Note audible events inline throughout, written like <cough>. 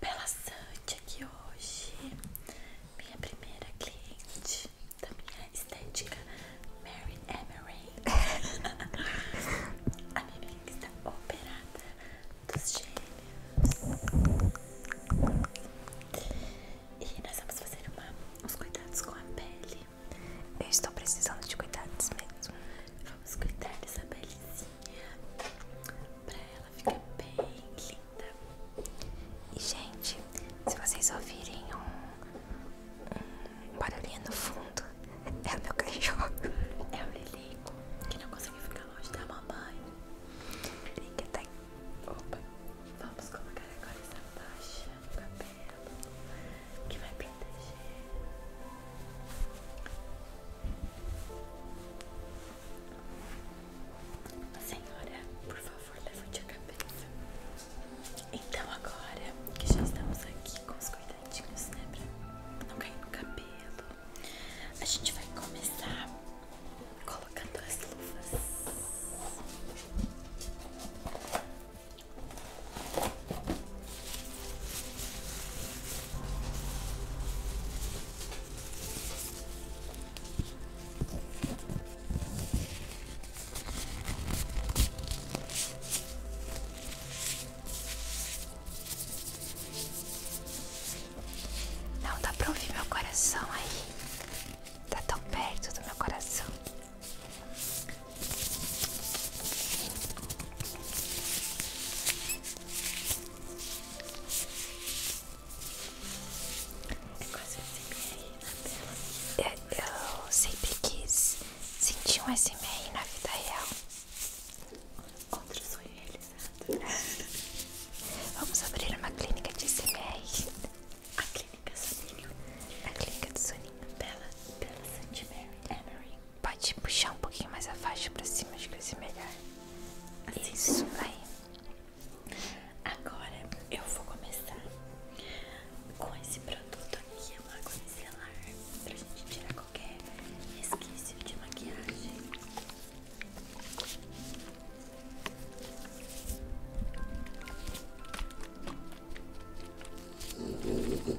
Bela Sante aqui hoje, minha primeira cliente da minha estética Mary Emery. <laughs> A minha amiga está operada dos gêmeos. E nós vamos fazer uma, uns cuidados com a pele. Eu estou precisando de cuidados mesmo. Vamos cuidar dessa pelezinha pra fica bem linda. E gente, se vocês ouvirem um, barulhinho no fundo, <laughs> é o meu cachorro, <laughs> é o Lilico, que não conseguiu ficar longe da mamãe. Lilico tá aqui. Opa, vamos colocar agora essa faixa no cabelo que vai proteger. Senhora, por favor, leve levante a cabeça. Então agora que já estamos aqui com os cuidadinhos, né? Pra não cair no cabelo, a gente vai começar colocando as luvas. Não dá pra ouvir meu coração aí. Tá tão perto do meu coração. É, eu, sempre quis sentir um SMR na vida real. Outro sonho realizado. Vamos abrir uma clínica de SMR. A clínica Soninho. A clínica do Soninho. Bela, Bela St. Mary. Pode puxar um pouquinho mais a faixa pra cima, acho que vai ser melhor. Assim. Isso aí. Agora eu vou começar com esse produto aqui, é uma micelar, pra gente tirar qualquer resquício de maquiagem. Um pouquinho do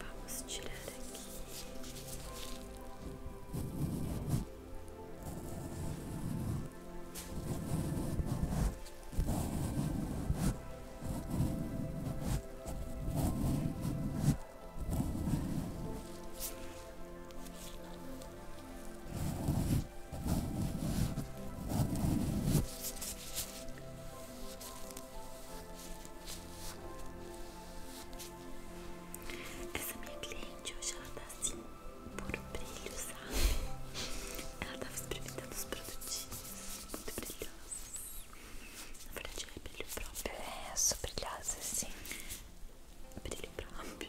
Vamos tirar aqui. Essa minha cliente hoje ela tá assim por brilho, sabe? Ela tava experimentando os produtinhos muito brilhosos. Na verdade é brilho próprio. É, sou brilhosa sim. Brilho próprio.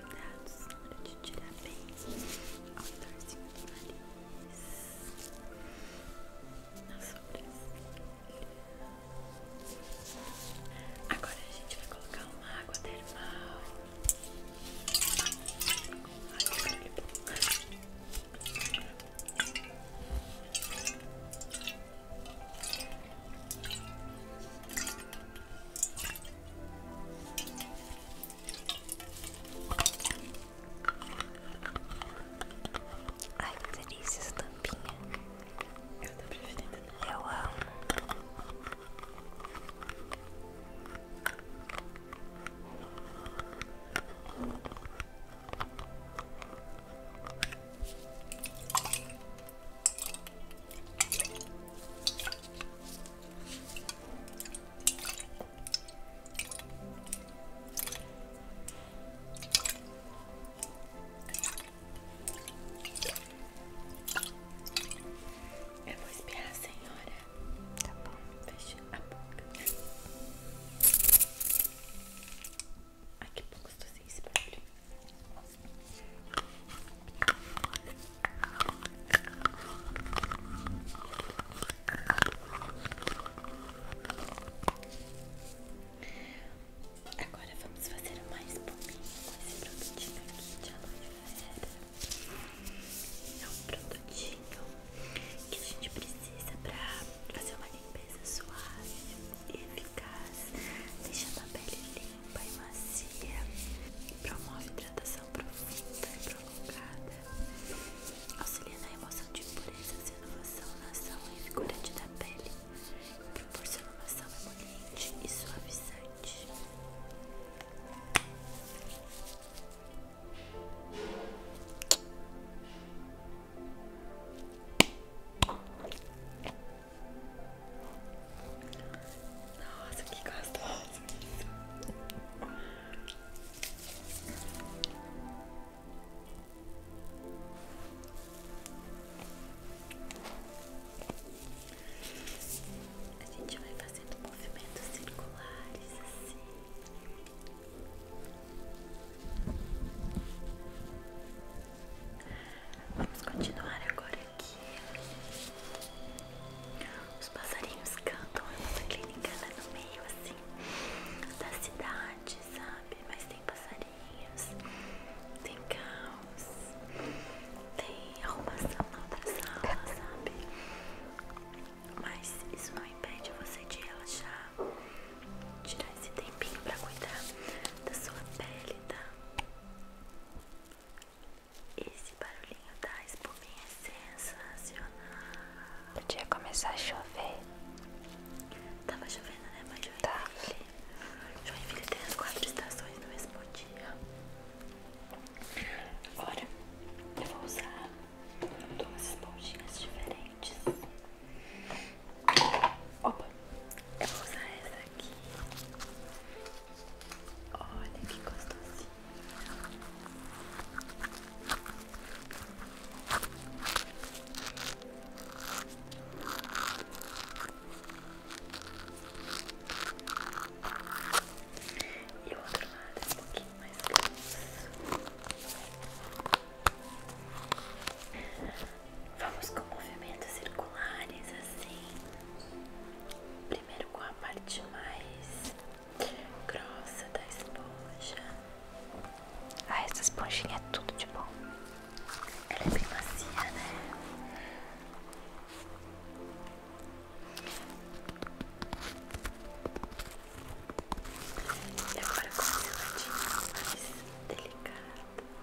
cuidados hora de tirar bem ao redorzinho do nariz, nas sobrancelhas. Agora a gente vai colocar uma água termal. Ai, que barulho bom. Ai, que delícia tampinha. Eu tô preferindo. Eu amo. Eu vou espiar, senhora. Tá bom, fecha a boca. Ai, que pouco estou sem Agora vamos fazer uma espuminha com esse produtinho aqui de aloe vera. É um produtinho que a gente precisa pra fazer uma limpeza suave e eficaz, deixando a pele linda limpa e macia, promove hidratação profunda e prolongada, auxilia na emoção de impurezas e inovação na ação revigorante da pele, proporciona uma ação emoliente e suavizante. Nossa, que gostoso A gente vai fazendo movimentos circulares assim. Vamos continuar agora aqui. Os passarinhos cantam, é a nossa clínica lá no meio assim da cidade, sabe? Mas tem passarinhos, tem caos, tem arrumação na outra sala, sabe? Mas isso não impede você de relaxar, tirar esse tempinho pra cuidar da sua pele, tá? Esse barulhinho da espuminha é sensacional. Podia começar a chover. Tava chovendo, né? Mas Joinville. Tá. Joinville tem as quatro estações no mesmo dia. Agora eu vou usar duas esponjinhas diferentes. Opa! Eu vou usar essa aqui Olha que gostosinho. E o outro lado é um pouquinho mais grosso. Vamos com movimentos circulares assim. Primeiro com a parte mais grossa da esponja. Ah, essa esponjinha é tudo de bom. Ela é bem macia, né? E agora com o meu mais delicado.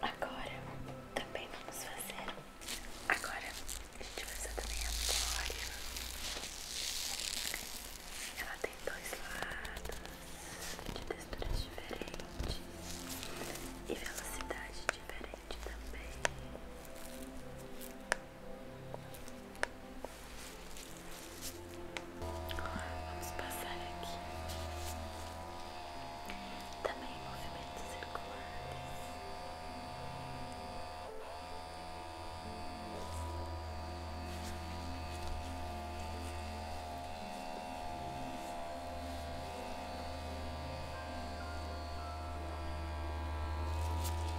Agora também vamos fazer. Agora a gente vai fazer também a glória. Ela tem dois lados de texturas diferentes e velocidade diferente também. Vamos passar aqui também movimentos circulares. Vamos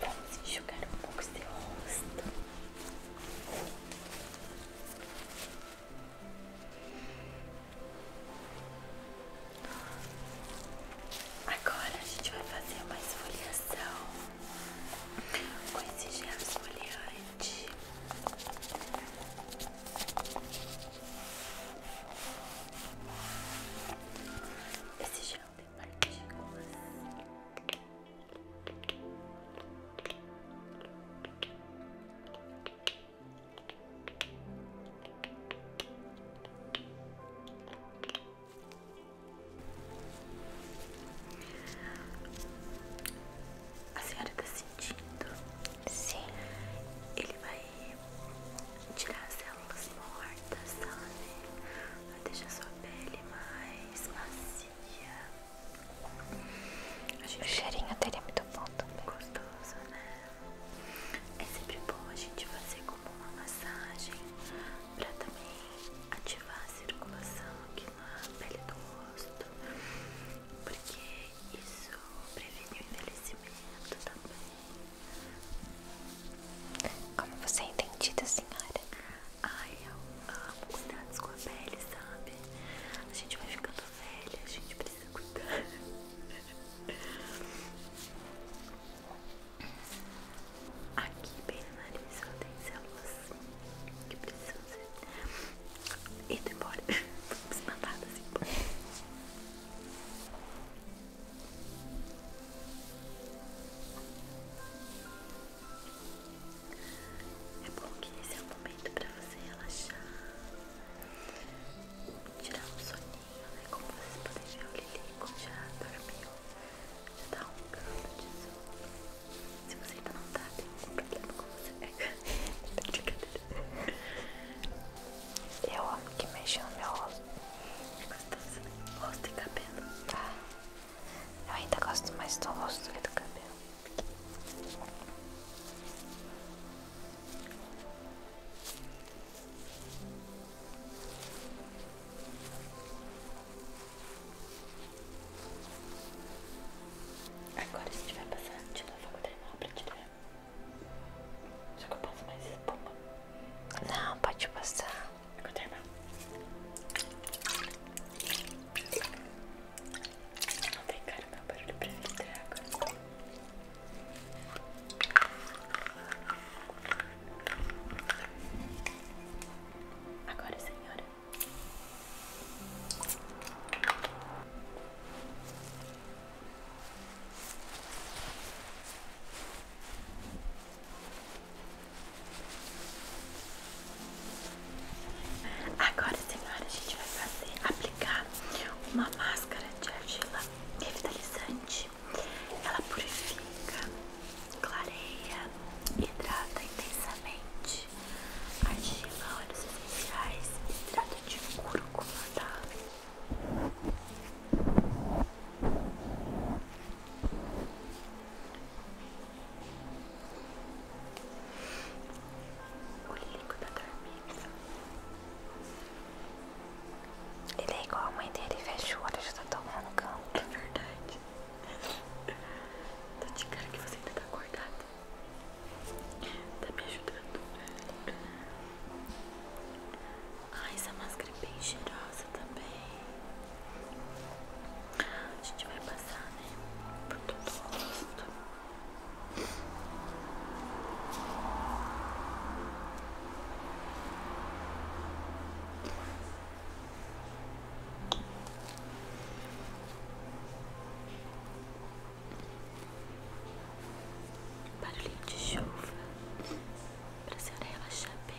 Vamos enxugar um pouco seu rosto. Agora a gente vai fazer uma esfoliação com esse gel esfoliante. Esse gel de A senhora está sentindo? Sim. Ele vai tirar a célula células mortas, sabe? Ela deixa a sua pele mais macia. Gente... O cheirinho dele é muito bom também. Gostoso, né? É sempre bom a gente fazer como uma massagem pra também ativar a circulação aqui na pele do rosto. Porque isso previne o envelhecimento também. Como você é entendida, senhora? Ai, eu amo cuidados com a pele, sabe? A gente vai ficando velha, a gente precisa cuidar. Aqui, bem no nariz, só tem células que precisam ser indo embora, <laughs> mandadas embora. É bom que esse é o momento pra você relaxar, tirar um soninho, né? Como vocês podem ver, o Lilico já dormiu, já tá roncando de sono. Se você ainda não tá, tem algum problema com você. <laughs> Eu amo que mexe no meu rosto. É gostoso, né? Rosto e cabelo. Ah. Eu ainda gosto mais do rosto que do cabelo. Agora se tiver passando de novo, eu vou treinar pra tirar. Só que eu passo mais espuma. Não, pode passar. Não tem cara não, barulho pra filtrar água. Agora, senhora. Agora, senhora, a gente vai fazer aplicar uma máscara de argila revitalizante. Ela purifica, clareia, hidrata intensamente. Argila, óleos essenciais, hidrata de cúrcuma, tá? O Lírico tá dormindo. Ele é igual a mãe dele, fecha o olho, já tá tomando canto. É verdade. Tá de cara que você ainda tá acordado. Tá me ajudando. velho. Ah, essa máscara é bem cheirosa também. A gente vai passar, né? Por todo o rosto. Barulhinho de chuva. Pra senhora relaxar bem.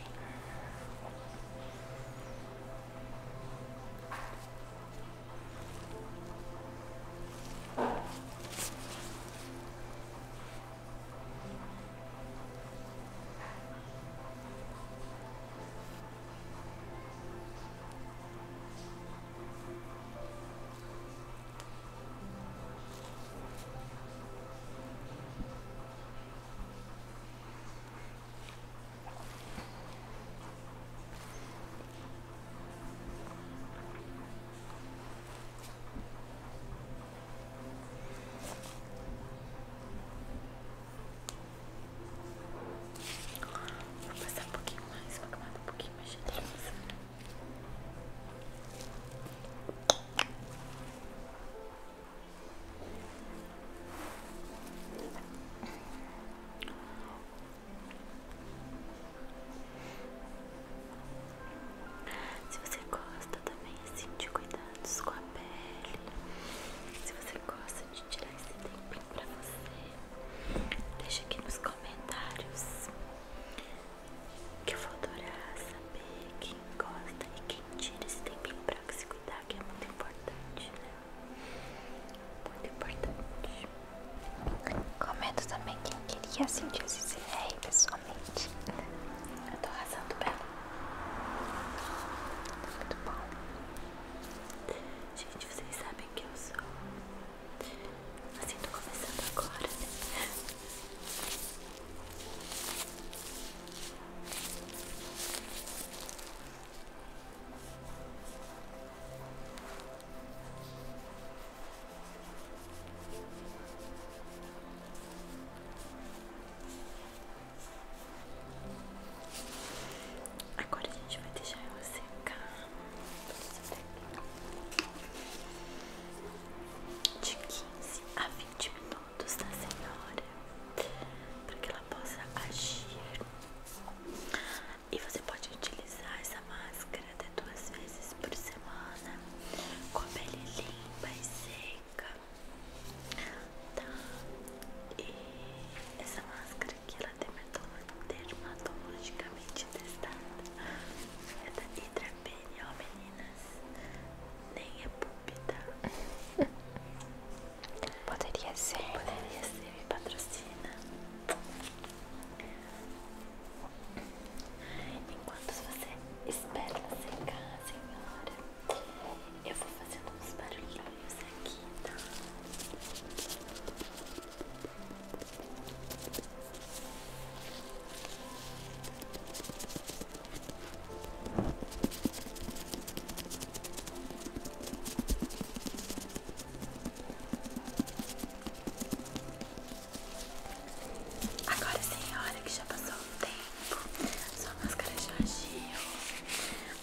Vou passar um pouquinho mais, vou acabar um pouquinho mais de luz. Vou se você gosta também assim de cuidados com a pele, se você gosta de tirar esse tempinho pra você, deixa aqui nos comentários que eu vou adorar saber quem gosta e quem tira esse tempinho pra para se cuidar que é muito importante, né? Muito importante. Comento também quem queria sentir esse CR pessoalmente. Eu tô arrasando bem. Muito bom. Gente, vocês sabem que eu sou. Assim, tô começando agora, né? Agora a gente vai deixar ela secar. De quinze a vinte minutos pontos da tá, senhora para que ela possa agir. E você pode utilizar essa máscara até duas vezes por semana com a pele limpa e seca. Tá? E essa máscara aqui ela é dermatologicamente testada. É da Hydra Pene nem é púlpita. <laughs> Poderia ser. Poderia ser, me patrocina. Enquanto você espera sem casa senhora, eu vou fazer uns barulhinhos aqui, tá? Então. Agora senhora que já passou o tempo, sua máscara já agiu,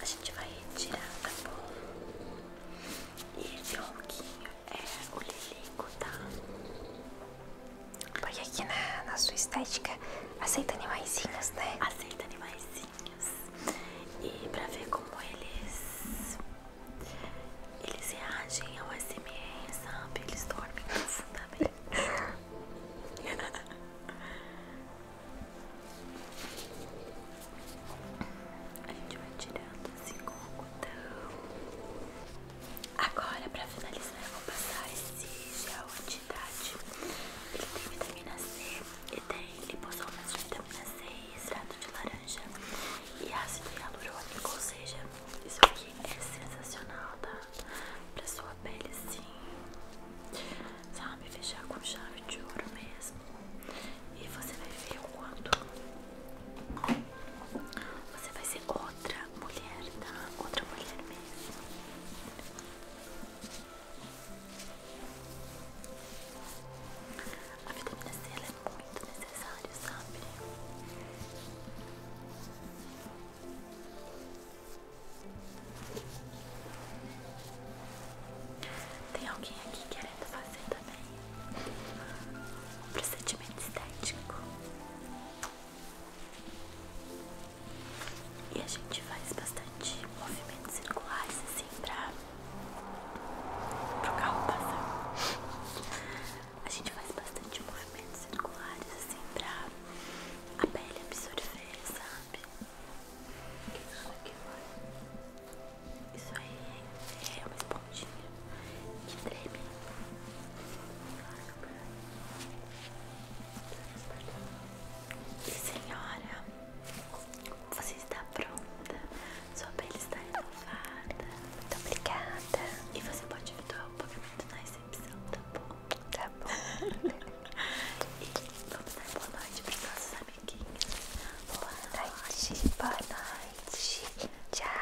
a gente vai tirar tá bom? E esse ronquinho é o lilico, tá? Porque aqui na, na sua estética aceita animaizinhos, né? Aceita animaizinhos. E pra ver como eles. Eles reagem ao SMR, sabe? Eles dormem profundamente. <laughs> A gente vai tirando assim com o algodão. Agora, pra finalizar, eu vou passar esse gel ele tem vitamina C e tem lipossomas de vitamina C e extrato de laranja e ácido hialurônico, ou seja, isso aqui é sensacional, tá? Pra sua pele sim, sabe? Fechar com chave de ouro mesmo. E você vai ver o quanto você vai ser outra mulher, tá? Outra mulher mesmo. A vitamina C ela é muito necessária, sabe? Tem alguém aqui querendo fazer também um procedimento estético? E a gente faz bastante movimentos circulares assim pra o carro passar. A gente faz bastante movimentos circulares assim pra a pele absorver, sabe? Isso aqui vai. Isso aí é, é uma esponjinha que treme. Ai, Senhora, você está pronta? Sua pele está renovada. Muito obrigada. E você pode efetuar o pagamento na recepção, tá bom? Tá bom. <laughs> e vamos dar boa noite para os nossos amiguinhos. Boa, noite. Boa noite. Tchau. Tchau.